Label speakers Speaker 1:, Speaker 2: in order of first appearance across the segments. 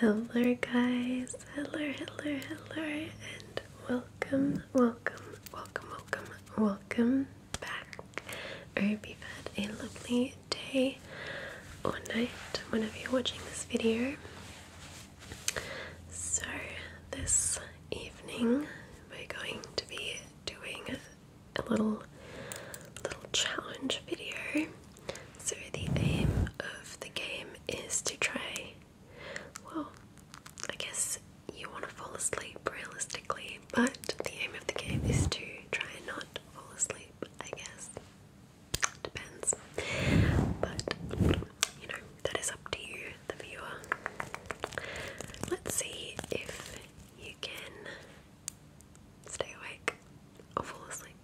Speaker 1: Hello, guys. Hello, hello, hello, and welcome, welcome, welcome, welcome, welcome back. I hope you've had a lovely day or night whenever you're watching this video. So, this evening we're going to be doing a little little challenge video. So the aim of the game is to try well, I guess you want to fall asleep realistically, but the aim of the game is to try and not fall asleep, I guess. Depends. But, you know, that is up to you, the viewer. Let's see if you can stay awake or fall asleep.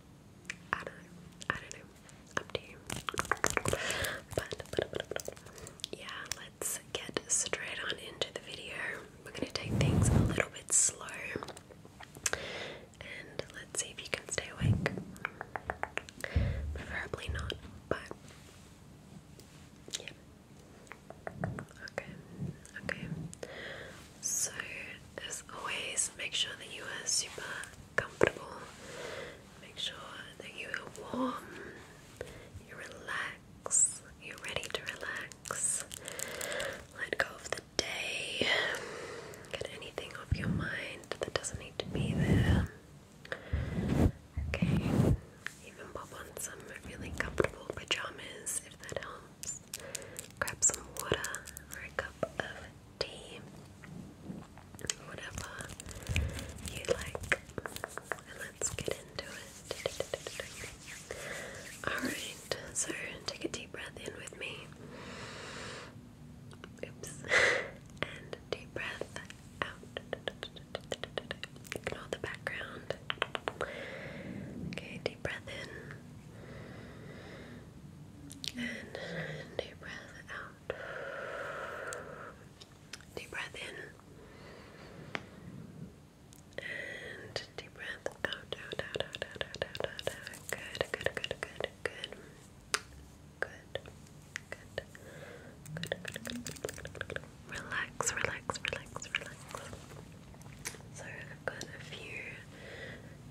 Speaker 1: I don't know. I don't know. Up to you. But, yeah, let's get straight on into the video. We're going to take things a little bit slow and let's see if you can stay awake. Preferably not, but yeah. Okay, okay. So, as always, make sure that you are super comfortable. Make sure that you are warm, you relax, you're ready to relax. Let go of the Get anything off your mind that doesn't need to be there. Okay, even pop on some really comfortable pajamas if that helps. Grab some water or a cup of tea, whatever you like, and let's get into it. Alright, so take a deep breath in with me. Oops. and deep breath out. Ignore the background. Okay, deep breath in. And deep breath out. Deep breath in. And deep breath out. Good, good, good, good. Good. Good. Good. Good. Good. Good. Good. Good. Relax. Relax. Relax. Relax. So I've got a few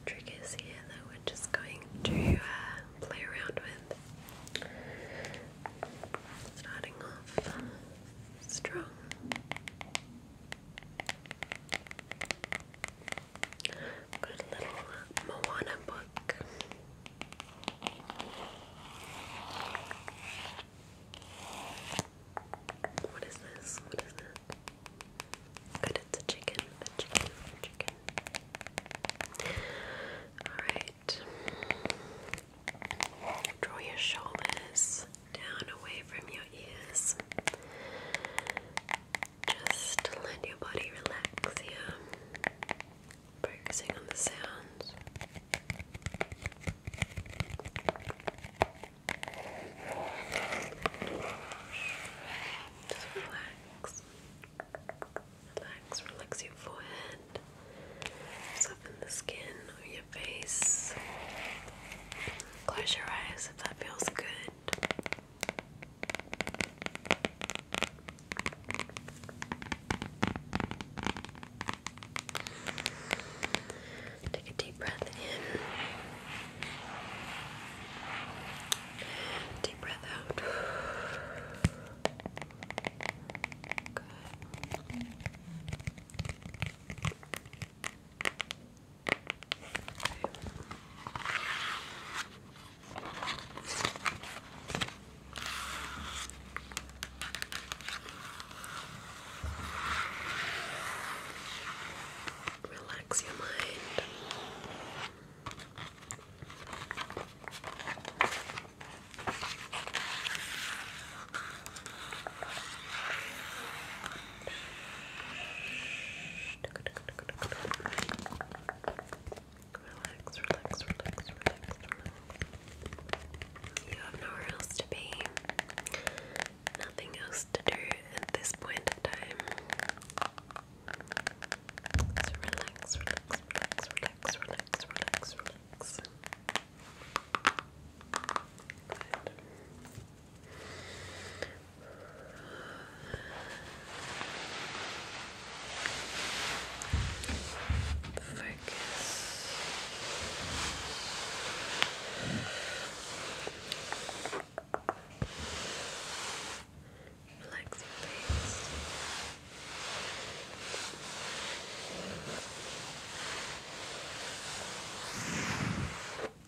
Speaker 1: triggers here that we're just going to uh, play around with. Starting off strong. Good little Moana book. What is this? What is that? Good, it's a chicken, a chicken, a chicken. Alright. Draw your shoulders down away from your ears. Just let your body relax here, focusing on the sounds. Just relax. Relax, relax your forehead, soften the skin of your face. Close your eyes if that feels good. Take a deep breath in. And deep breath out. Good. Relax your mind. Relax, relax, relax, relax, relax. You have nowhere else to be. Nothing else to do at this point of time. So relax, relax, relax, relax, relax, relax, relax. Good. Focus. Relax your face. Good.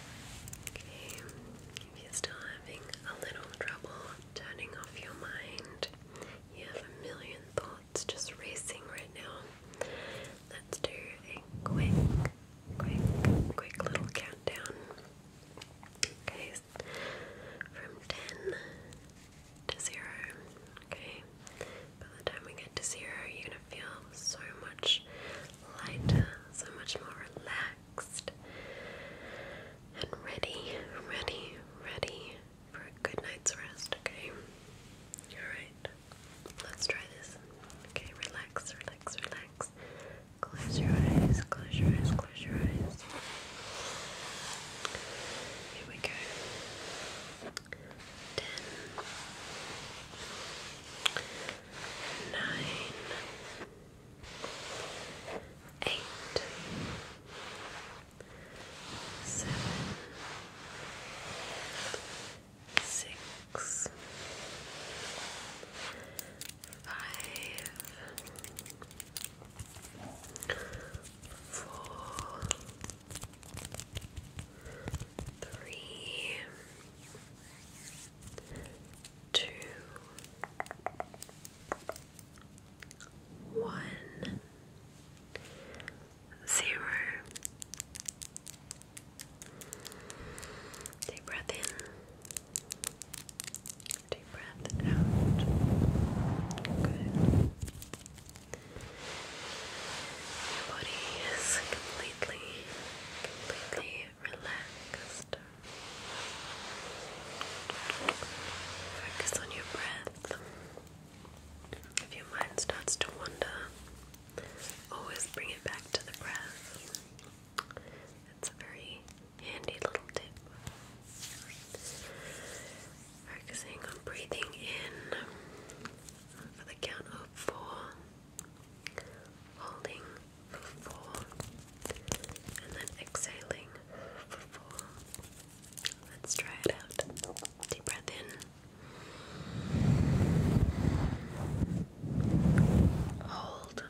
Speaker 1: Okay, if you're still having a little trouble turning off your mind, you have a million thoughts just racing right now. Let's do a quick, quick, quick little countdown. Okay, from 10 to 0. Okay, by the time we get to 0, you're gonna feel so much lighter, so much more relaxed and ready, ready, ready for a good night's rest, okay? Alright, let's try this. Okay, relax, relax, relax. Close your eyes, close your eyes, close your eyes. Here we go. Ten nine, eight, seven, six, five, four, three two, one, zero. Deep breath in, deep breath out. Good. Your body is completely completely relaxed. Focus on your breath. If your mind starts to wander, always bring it back to the breath. It's a very handy little tip. Focusing on breathing in for the count of four holding for four, and then exhaling for four. Let's try it out. Deep breath in. Hold.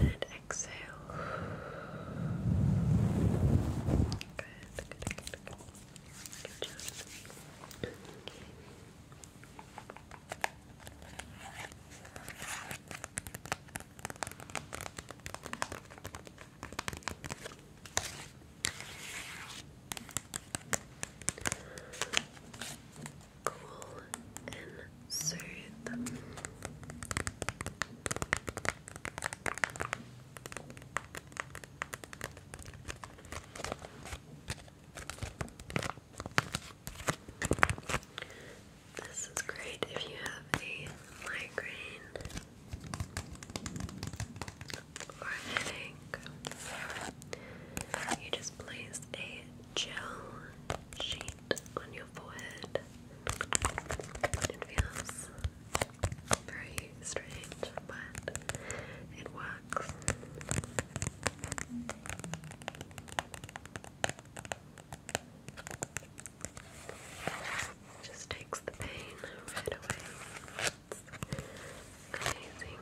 Speaker 1: And exhale. Good, Good job. Cool and soothe. This is great if you have a migraine or headache. You just place a gel sheet on your forehead. It feels very strange, but it works. Just takes the pain right away. amazing.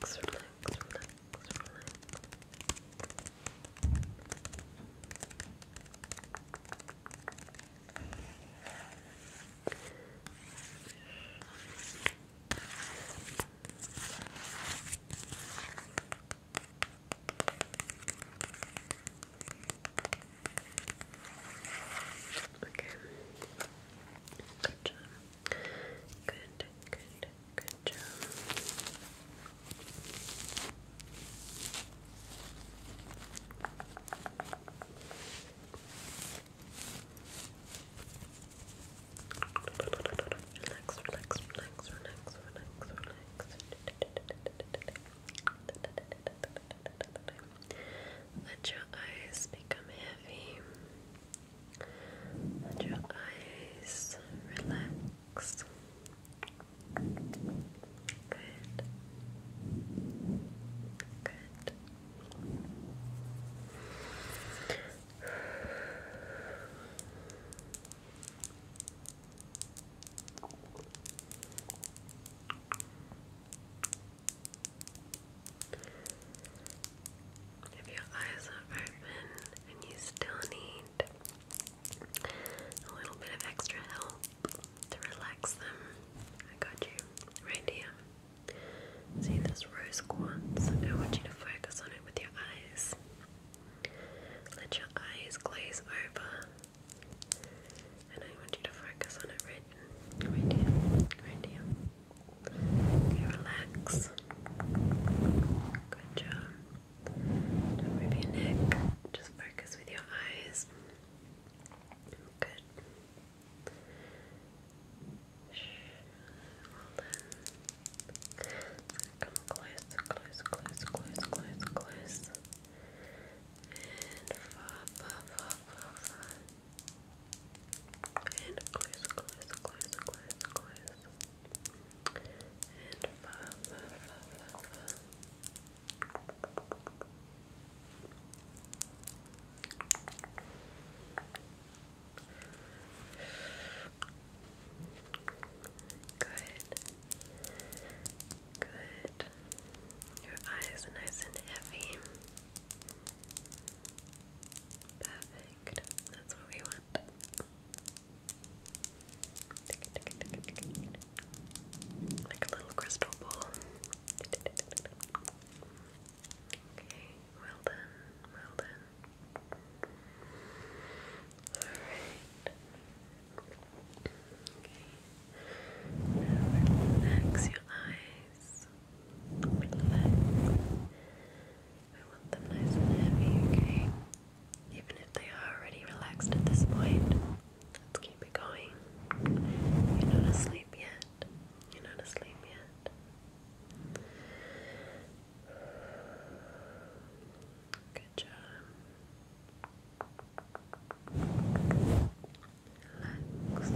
Speaker 1: relax, relax. Okay. Gotcha. Good, good, Good job. Relax, relax, relax, relax, relax, relax. Let your eyes become heavy. Let your eyes relax. Good. If your eyes are open and you still need a little bit of extra help to relax them. I got you right here. See this rose quartz? I want you to focus on it with your eyes. Let your eyes glaze over. And I want you to focus on it right, right here, right here. Okay, relax. Good job. Don't move your neck. Just focus with your eyes. Good. Well done. Come close, close, close, close, close, close. And far, far, far, far, far. And close, close, close, close, close. And fa, Good. Good. Your eyes nice and heavy. Perfect. That's what we want. Like a little crystal ball. Okay, well done, well done. Alright. Okay. relax your eyes. Relax. I want them nice and heavy, okay? Even if they are already relaxed at this point, let's keep it going. You're not asleep yet. You're not asleep yet. Good job. Relax.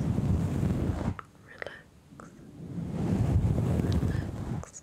Speaker 1: Relax. Relax.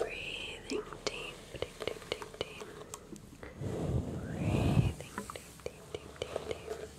Speaker 1: Breathing deep, deep, deep, deep, Breathing deep, deep, deep, deep,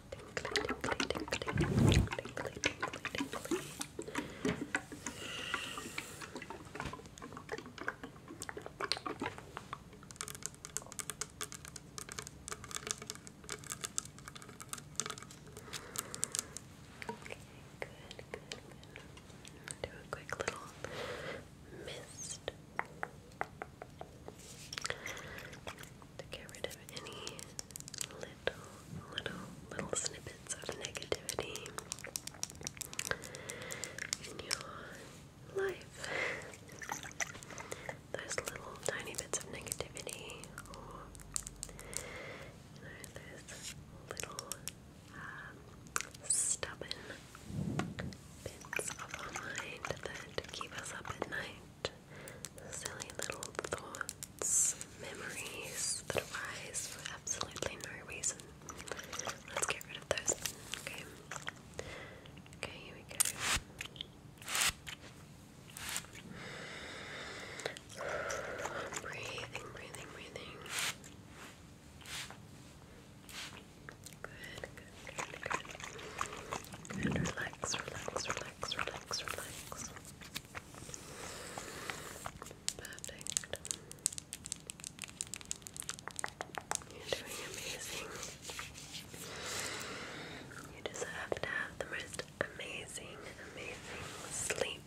Speaker 1: Do a quick little mist to get rid of any little, little, little snippets of negativity in your life. Those little tiny bits of negativity, or you know, those little um, stubborn bits of our mind that keep us up at night silly little thoughts, memories that arise for absolutely no reason. Let's get rid of those. Okay. Okay, here we go. Breathing, breathing, breathing. Good, good, good, good. relax, relax, relax, relax, relax. Perfect. You're doing amazing. You deserve to have the most amazing, amazing sleep.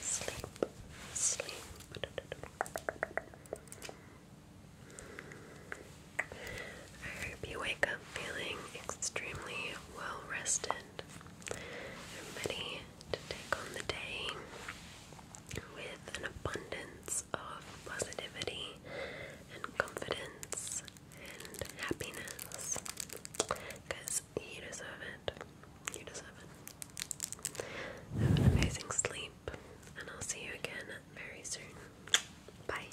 Speaker 1: Sleep. Sleep. I hope you wake up feeling extremely well rested and i ready to take on the day with an abundance of positivity and confidence and happiness because you deserve it. You deserve it. Have an amazing sleep, and I'll see you again very soon. Bye.